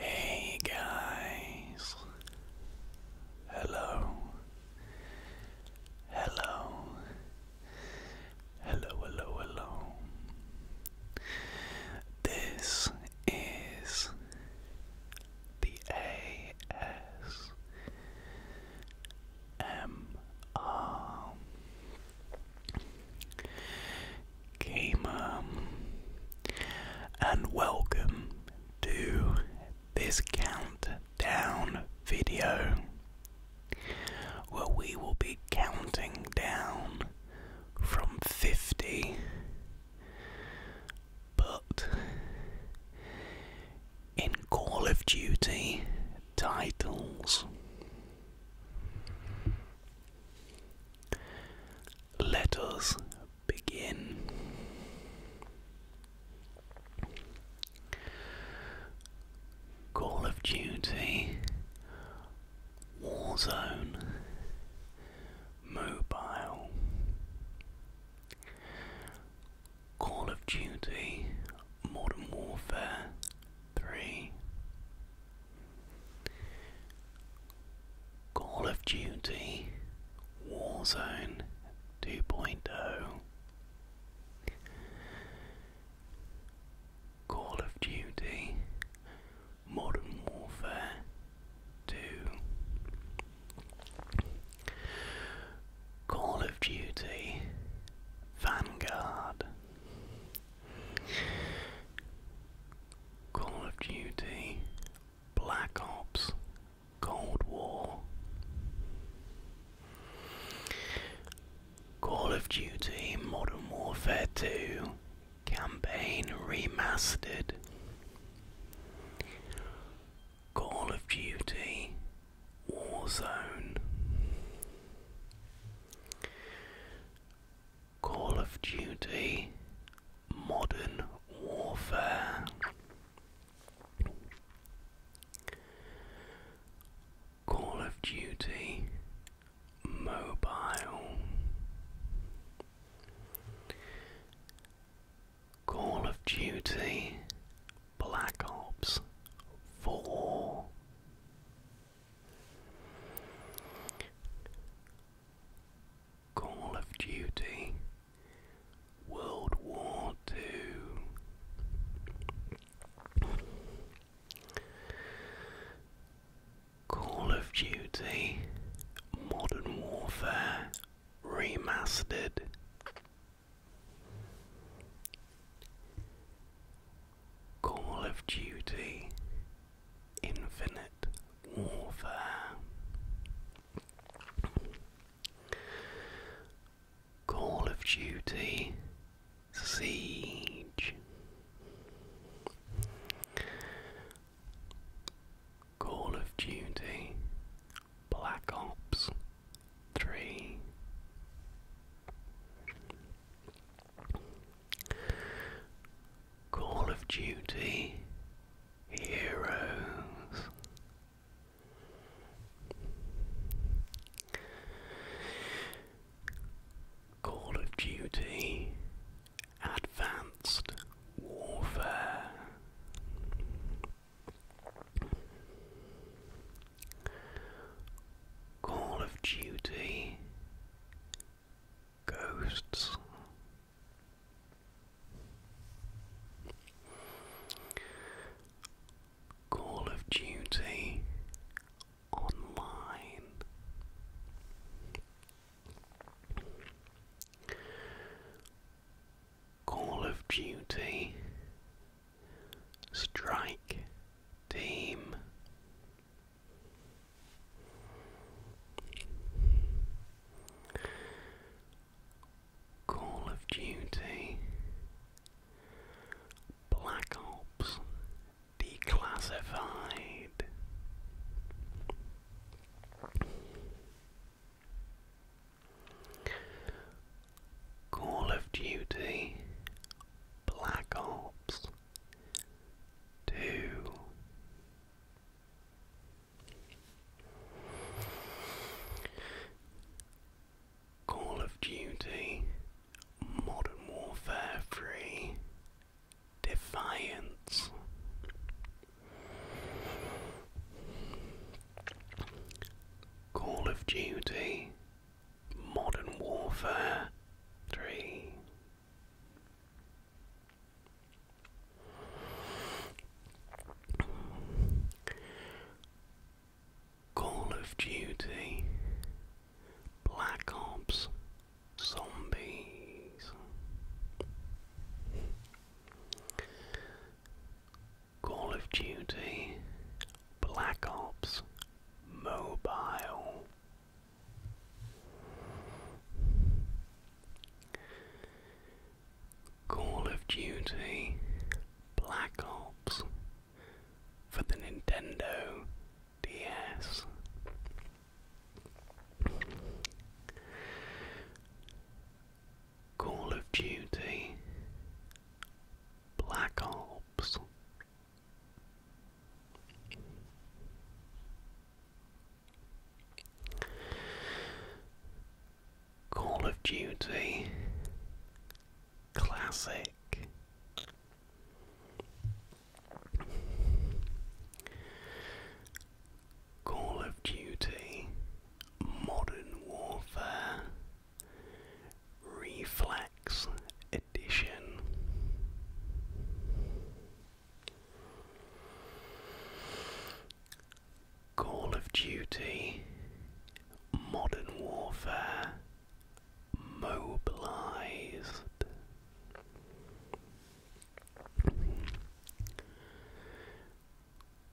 Hey guys, hello, Hello. Hello, hello, hello. This is the ASMR Gamer, and welcome to this countdown video where we will be counting down from 50 but in Call of Duty titles. Let us begin. Call of Duty, Warzone, Mobile, Call of Duty, Modern Warfare 3, Call of Duty, Warzone 2.0. Call of Duty Modern Warfare 2 Call of Duty Vanguard Call of Duty Black Ops Cold War, Call of Duty Modern Warfare 2 Campaign Remastered, Call of Duty Warzone, Call of Duty Modern Warfare. Call of Duty Mobile, Call of Duty Black Ops 4. Call of Duty World War Two, Call of Duty, Modern Warfare Remastered. Call of Duty Infinite Warfare Call of Duty Siege. Call of Duty Black Ops 3. Call of Duty Heroes Call of Duty Advanced Warfare. Call of Duty Ghosts. Call of Duty Online. Call of Duty Strike Team Call of Duty, Black Ops, Declassified. Call of Duty, Black Ops 2. Call of Duty, Modern Warfare 3, Defiance. Call of Duty, Modern Warfare 3. Call of Duty, Black Ops, Zombies. Call of Duty, Black Ops, Mobile. Call of Duty Black Ops for the Nintendo DS. Call of Duty Black Ops. Call of Duty Classic. Call of Duty Modern Warfare Reflex Edition. Call of Duty, Modern Warfare, Mobilized.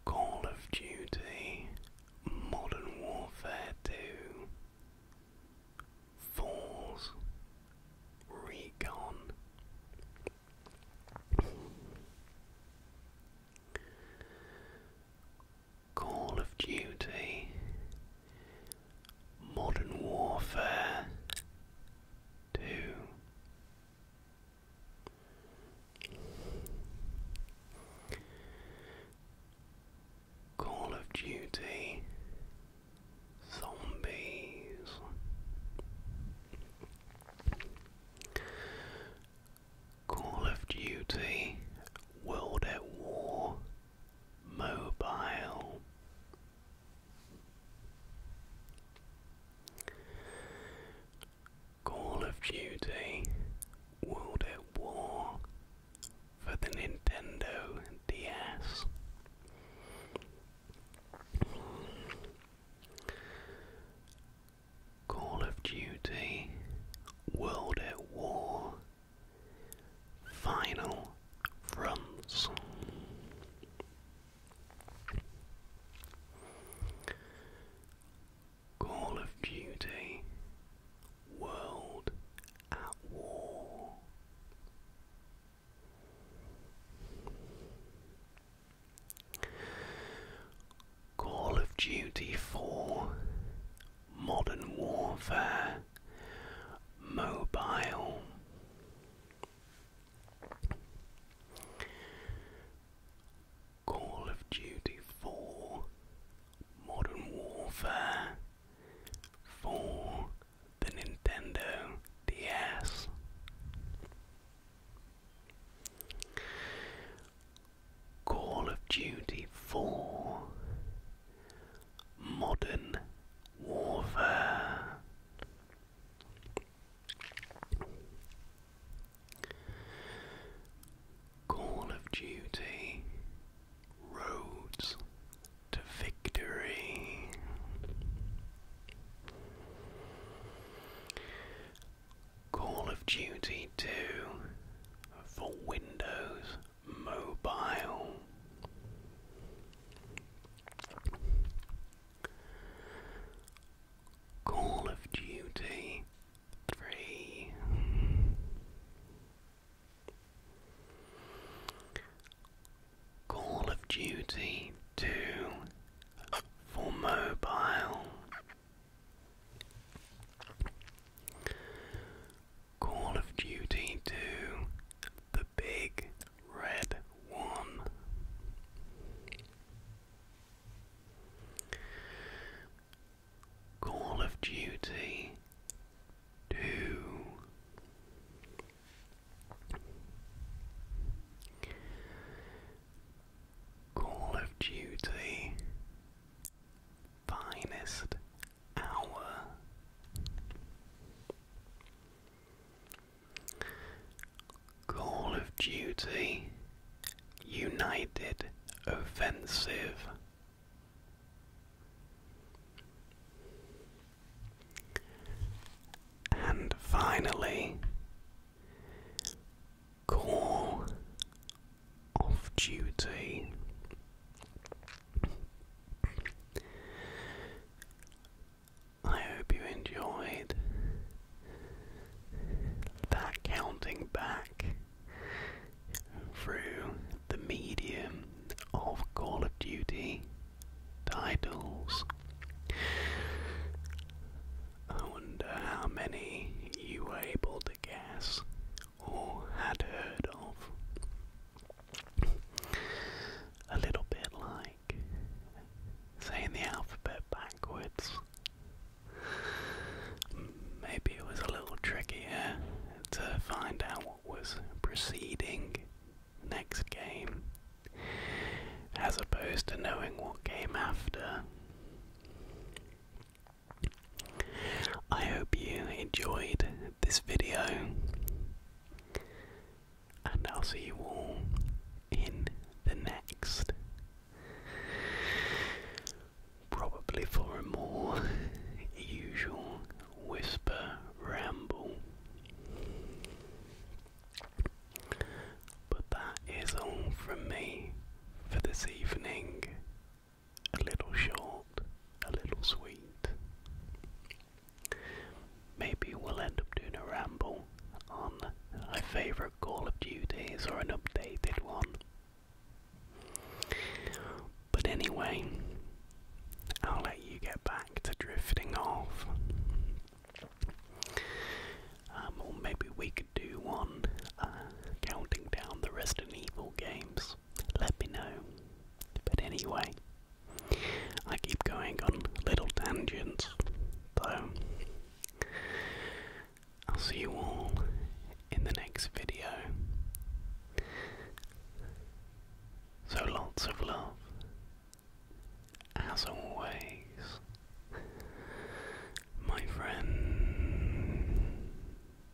Call of Duty, Modern Warfare 2, Falls, Recon. Call of Duty, Modern Warfare 2. Call of Duty Zombies Call of Duty, World at War, Mobile. Call of Duty, World at War for the Nintendo DS. Call of Duty, World at War, Final Fronts. Call of Duty, World at War. Call of Duty 4, Modern Warfare, Mobile. Call of Duty 4, Modern Warfare, for the Nintendo DS. Call of Duty 4 Modern Warfare. Call of Duty Roads to Victory. Call of Duty 2 for Windows Mobile. Call of Duty 3. Call of Duty 2 for mobile. Call of Duty 2 The Big Red One. Call of Duty 2. Call of Duty finest hour. Call of Duty United Offensive. And finally, Call of Duty. I hope you enjoyed that counting back through the medium of Call of Duty titles. I wonder how many you were able to guess or had heard of. A little bit like saying the alphabet backwards. Maybe it was a little trickier to find out what was preceding next game as opposed to knowing what came after. I hope you enjoyed this video, and I'll see you all in the next. Probably for a more usual whisper ramble. But that is all from me for this evening a little short, a little sweet. Maybe we'll end up doing a ramble on my favourite Call of Duties or an updated one. But anyway, I'll let you get back to drifting off. Um, or maybe we could do one uh, counting down the Resident Evil games, let me know. But anyway, I keep going on little tangents, Though I'll see you all in the next video. So lots of love, as always, my friend.